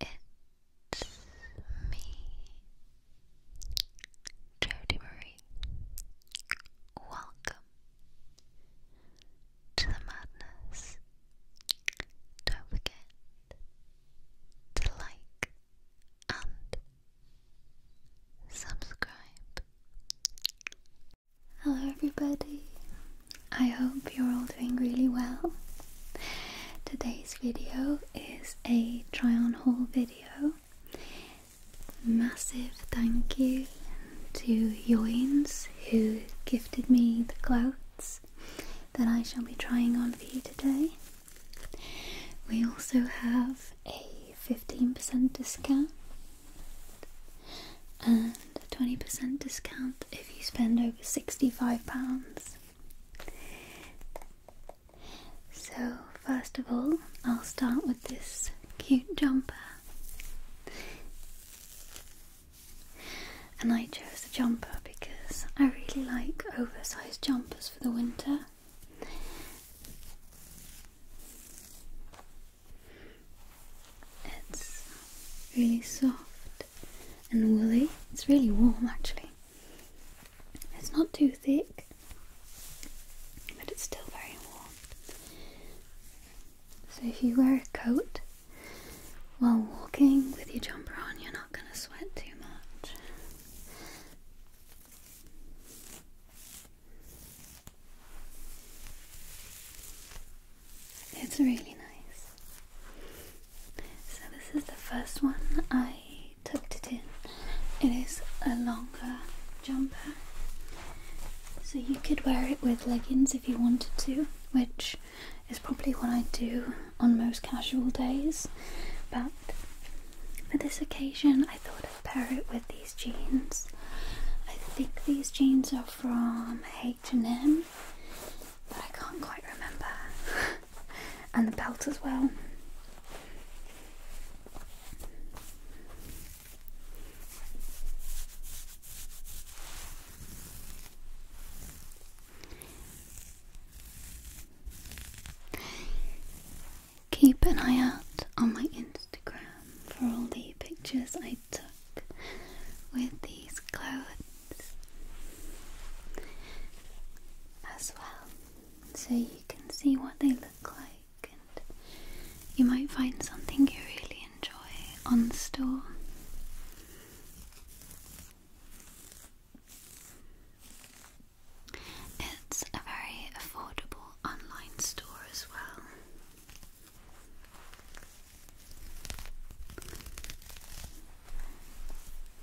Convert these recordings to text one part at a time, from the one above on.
It's me, Jody Marie. Welcome to the madness. Don't forget to like and subscribe. Hello, everybody. I hope you're all doing really well. Today's video is a try on haul video. Massive thank you to Yoins who gifted me the clothes that I shall be trying on for you today. We also have a 15% discount and a 20% discount if you spend over £65 so, first of all, I'll start with this cute jumper. And I chose the jumper because I really like oversized jumpers for the winter. It's really soft and woolly. It's really warm actually. It's not too thick, but it's still very warm. So if you wear a coat while walking with your jumper on, you're not going to sweat too much. It's really nice. So this is the first one I tucked it in. It is a longer jumper. So you could wear it with leggings if you wanted to, which is probably what I do on most casual days. But for this occasion, I thought I'd pair it with these jeans. I think these jeans are from H&M but I can't quite remember. and the belt as well. Keep an eye out on my Instagram for all the pictures I took with these clothes as well, so you can see what they look like, and you might find something you really enjoy on store. It's a very affordable online store as well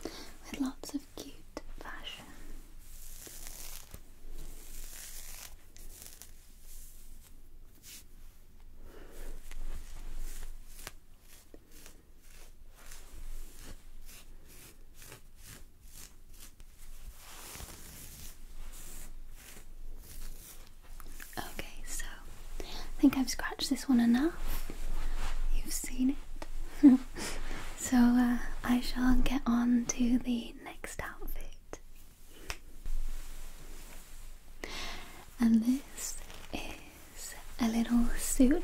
with lots of cute fashion. Okay, so I think I've scratched this one enough. You've seen it. so uh, I shall get on to the next outfit. And this is a little suit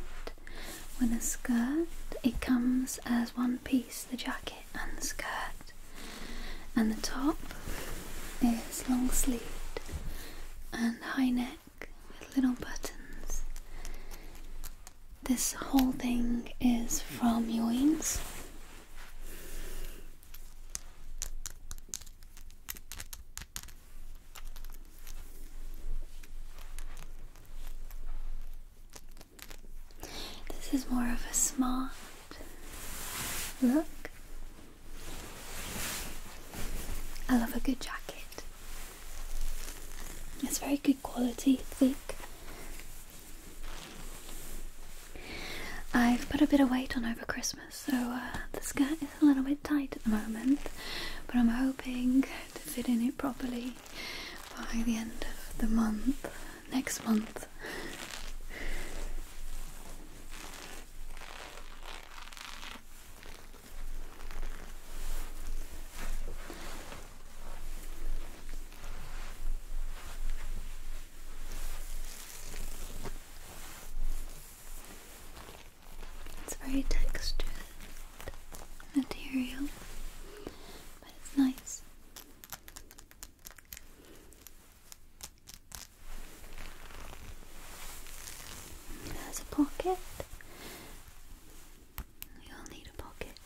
with a skirt. It comes as one piece the jacket and the skirt. And the top is long sleeved and high neck with little buttons. This whole thing is from Ewing's. This is more of a smart look. I love a good jacket. It's very good quality, thick. I've put a bit of weight on over Christmas, so uh, the skirt is a little bit tight at the moment, but I'm hoping to fit in it properly by the end of the month, next month. It's very textured material, but it's nice. There's a pocket. You'll need a pocket.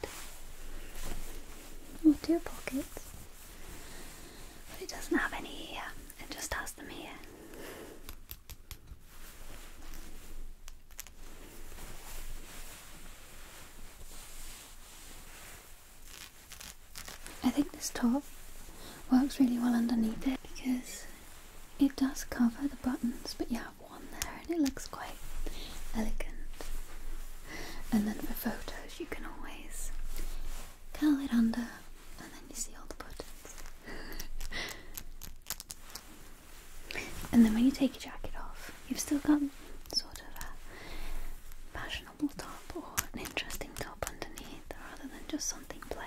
Or two pockets. But it doesn't have any here, it just has them here. I think this top works really well underneath it because it does cover the buttons, but you have one there and it looks quite elegant. And then for photos, you can always curl it under and then you see all the buttons. and then when you take your jacket off, you've still got sort of a fashionable top or an interesting top underneath rather than just something plain.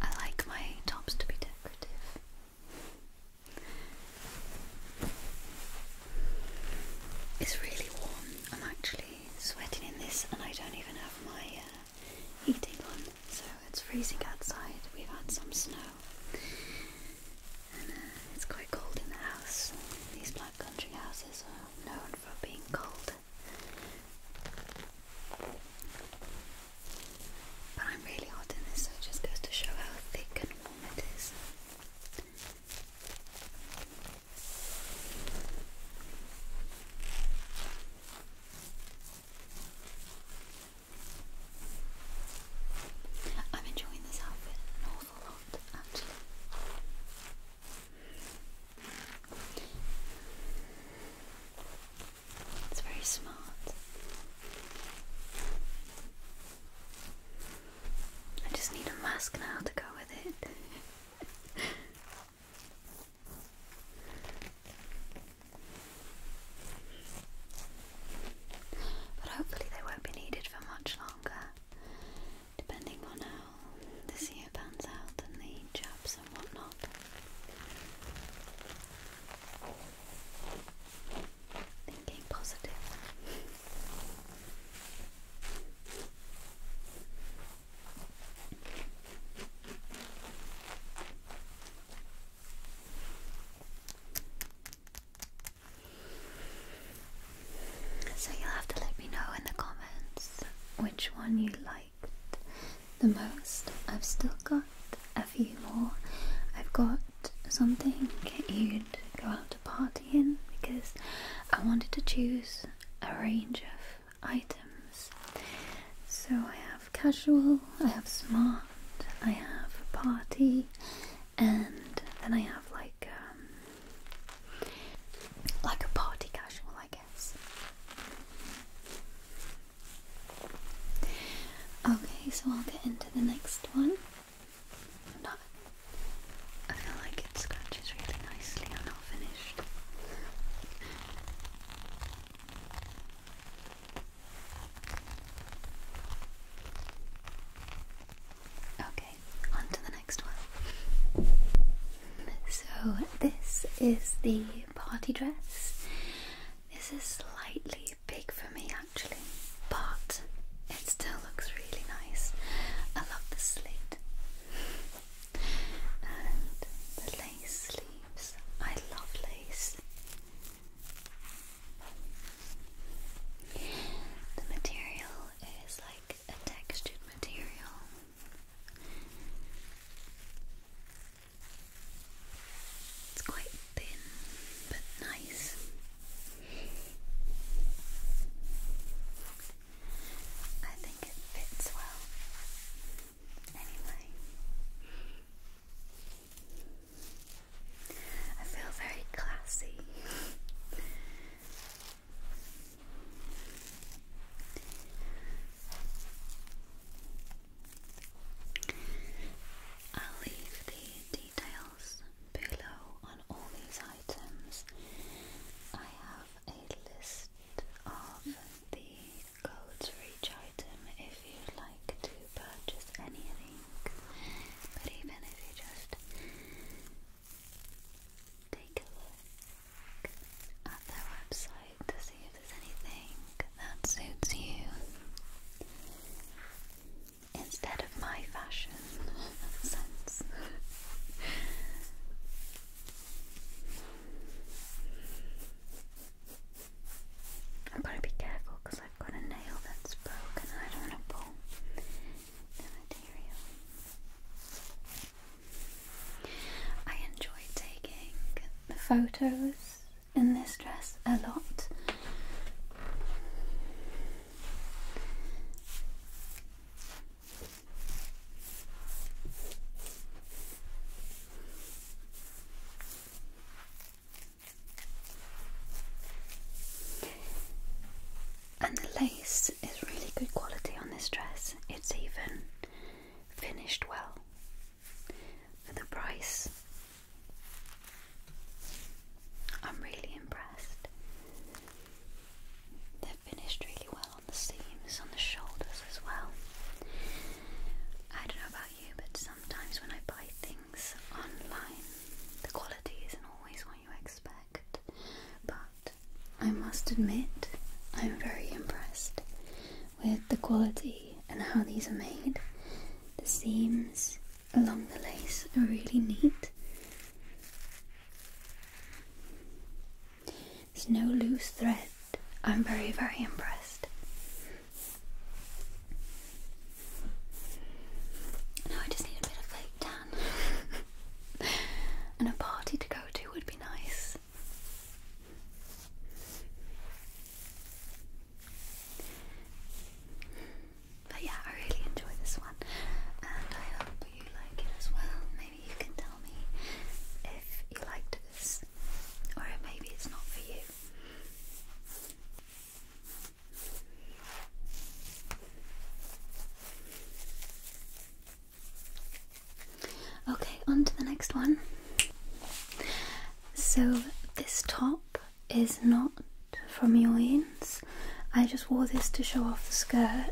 I like my tops to be decorative. It's really warm. I'm actually sweating in this, and I don't even have my uh, heating on. So it's freezing outside. We've had some snow, and uh, it's quite cold in the house. These black country houses are known for being cold. But I'm really hot in this, so it just goes to show how thick and warm it is. I'm enjoying this outfit an awful lot, actually. It's very smart. I just need a mask now to go with it. but hopefully, they won't be needed for much longer, depending on how this year pans out and the job Thinking positive. So you'll have to let me know in the comments which one you like the most. I've still got a few more. I've got something you'd go out to party in because I wanted to choose a range of items. So I have casual, I have smart, I have party, and then I have like um, like a party casual, I guess. Okay, so I'll get into the next one. I feel like it scratches really nicely. I'm not finished. Okay, on to the next one. So, this is the party dress. This is slightly big for me actually, but it still looks really nice. I love the slit and the lace sleeves. I love lace. The material is like a textured material. It's quite thin, but nice. I think it fits well. Anyway, I feel very classy. I'll leave the details below on all these items. I have a list of the codes for each item if you'd like to purchase anything. But even if you just take a look at their website to see there's anything that suits you instead of my fashion sense. I've got to be careful because I've got a nail that's broken I don't want to pull the material. I enjoy taking the photos in this dress a lot. And the lace is really good quality on this dress, it's even finished well for the price. I'm really impressed. They're finished really well on the seams, on the shoulders as well. I don't know about you, but sometimes when I buy things online, the quality isn't always what you expect. But I must admit, I'm very impressed with the quality and how these are made. The seams along the lace are really neat. There's no loose thread. I'm very, very impressed. Now I just need a bit of fake tan. and a party to go to would be nice. But yeah, I really enjoy this one, and I hope you like it as well. Maybe you can tell me if you liked this, or maybe it's not for you. Okay, on to the next one. So, this top is not from your Yoins. I just wore this to show off the skirt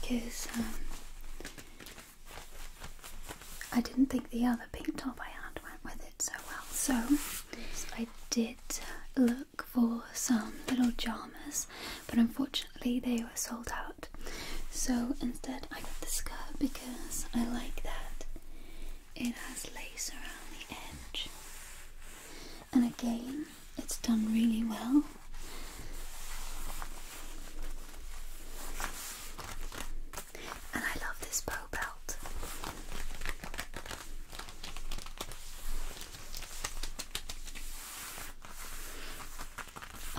because um, I didn't think the other pink top I had went with it so well. So, I did look for some little jammers, but unfortunately, they were sold out so instead, I got the skirt because I like that it has lace around the edge, and again, it's done really well. And I love this bow belt.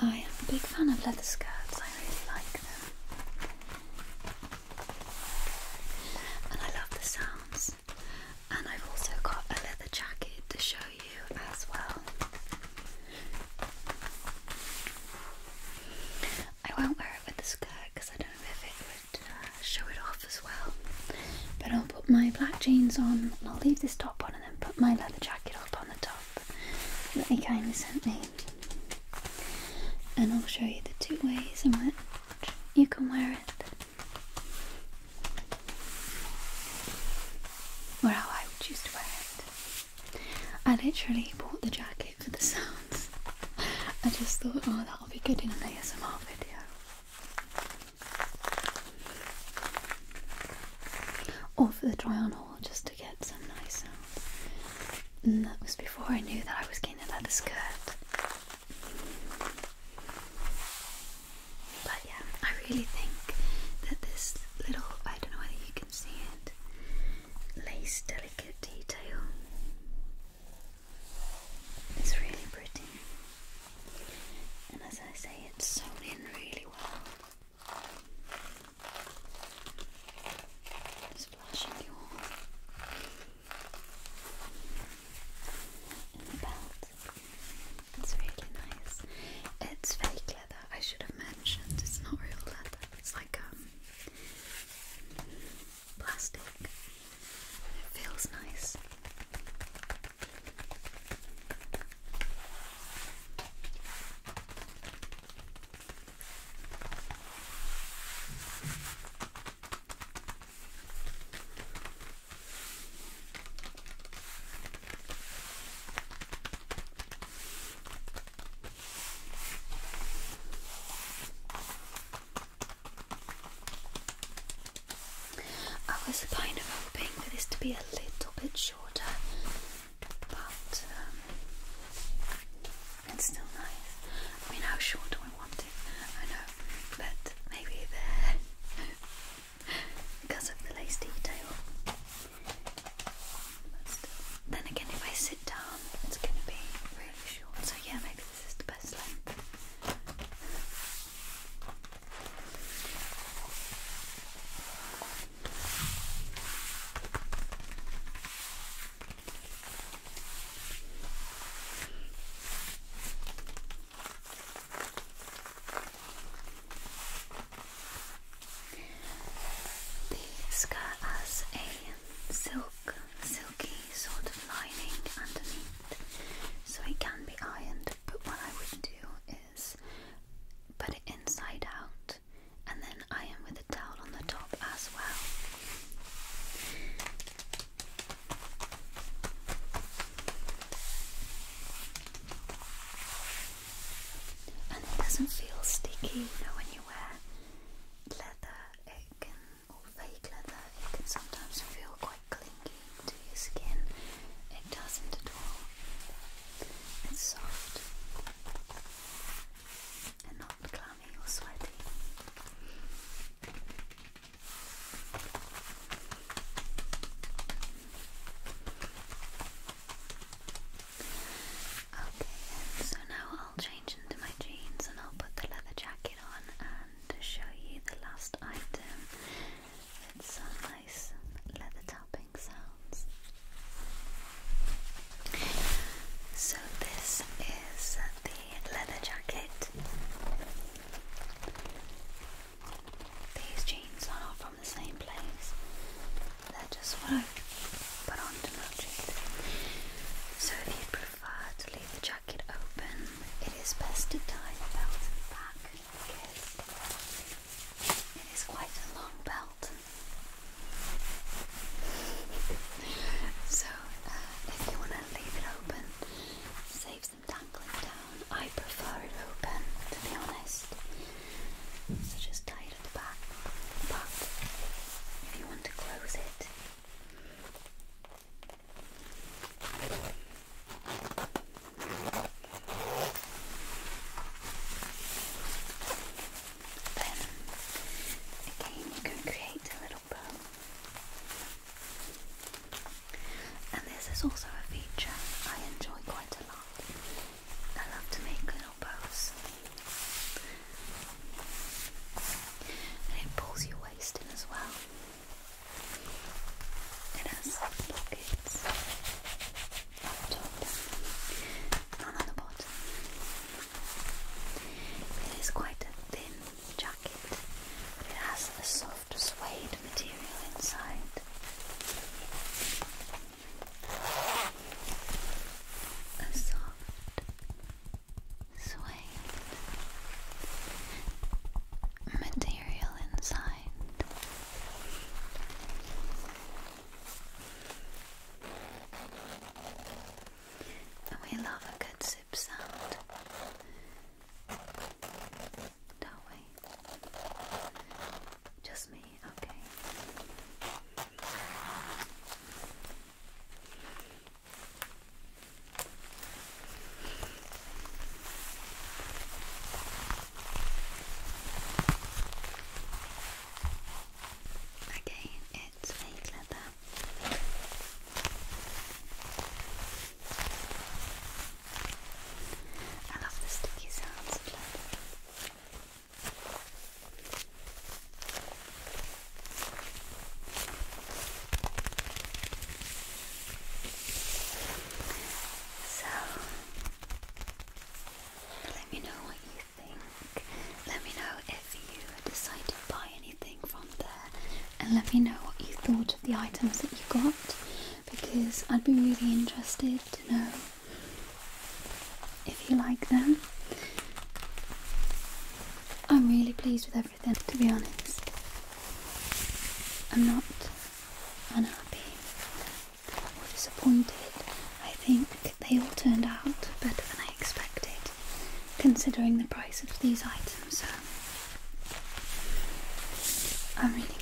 I am a big fan of leather skirts, I really like them and I love the sounds. And I've also got a leather jacket to show you as well. I won't wear it with the skirt because I don't know if it would uh, show it off as well. But I'll put my black jeans on and I'll leave this top on and then put my leather jacket up on the top that he kindly sent me and I'll show you the two ways in which you can wear it, or how I would choose to wear it. I literally bought the jacket for the sounds. I just thought, oh, that'll be good in an ASMR video. Or for the try just to get some nice sounds. And mm, that was before I knew that I was getting a skirt. But yeah, I really think that this little, I don't know whether you can see it, lace delicate detail is really pretty. And as I say, it's sewn in really well. It's really nice. It's fake leather. I should have mentioned it's not real leather. It's like um, plastic. It feels nice. I was kind of hoping for this to be a little bit shorter but um, it's still nice. I mean, how short do I want it? I know, but maybe there because of the lace detail. Then again, if I sit down, it's going to be really short. So yeah, maybe this is the best length. These skirt has a silk, silky sort of lining underneath, so it can be ironed. But what I would do is put it inside out and then I am with a towel on the top as well. And it doesn't feel sticky, you know, when you wear leather, it can, or fake leather, it can sometimes feel quite clingy to your skin. It doesn't at all. It's soft and clammy or sweaty. Okay, so now I'll change into my jeans and I'll put the leather jacket on and show you the last item. It's some nice leather tapping sounds. So, this is the leather jacket. These jeans are not from the same place, they're just what I put on to So, if you prefer to leave the jacket open, it is best to tie the belt at back it is quite a long belt so, uh, if you want to leave it open, save some tangling down. I prefer it open, to be honest. So just tie it at the back. But if you want to close it, then again, you can create a little bow. And this is also a feature I enjoy quite a lot. I love to make little bows. And it pulls your waist in as well. It has pockets on top and on the bottom. It is quite a thin jacket, but it has the soft suede material inside. A soft suede material inside. And we love a good zip sound, don't we? Just me, okay. Again, I love the sticky sounds of leather. So, let me know what you think. Let me know if you decided to buy anything from there and let me know what you thought of the items that you got because I'd be really interested to know if you like them. I'm really pleased with everything to be honest. I'm not unhappy or disappointed. I think they all turned out better than I expected, considering the price of these items, I'm really pleased.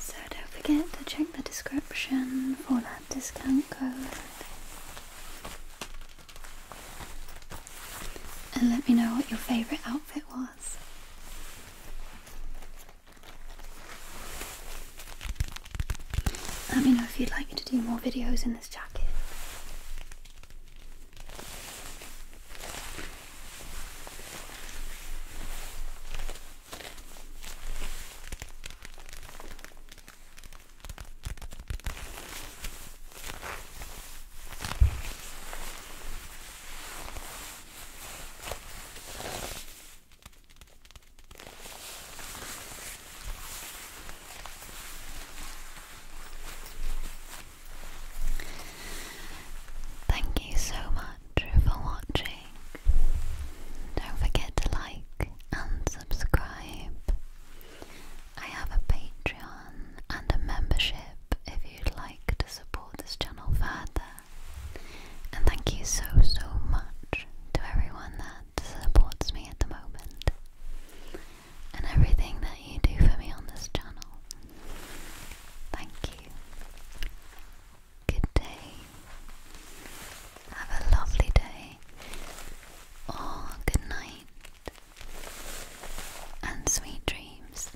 So don't forget to check the description for that discount code. And let me know what your favourite outfit was. Let me know if you'd like me to do more videos in this jacket. Thank you so much for watching. Don't forget to like and subscribe. I have a Patreon and a membership if you'd like to support this channel further. And thank you so, so much to everyone that supports me at the moment and everything that you do for me on this channel. Thank you. Good day. Have a lovely day. Or good night. And sweet dreams.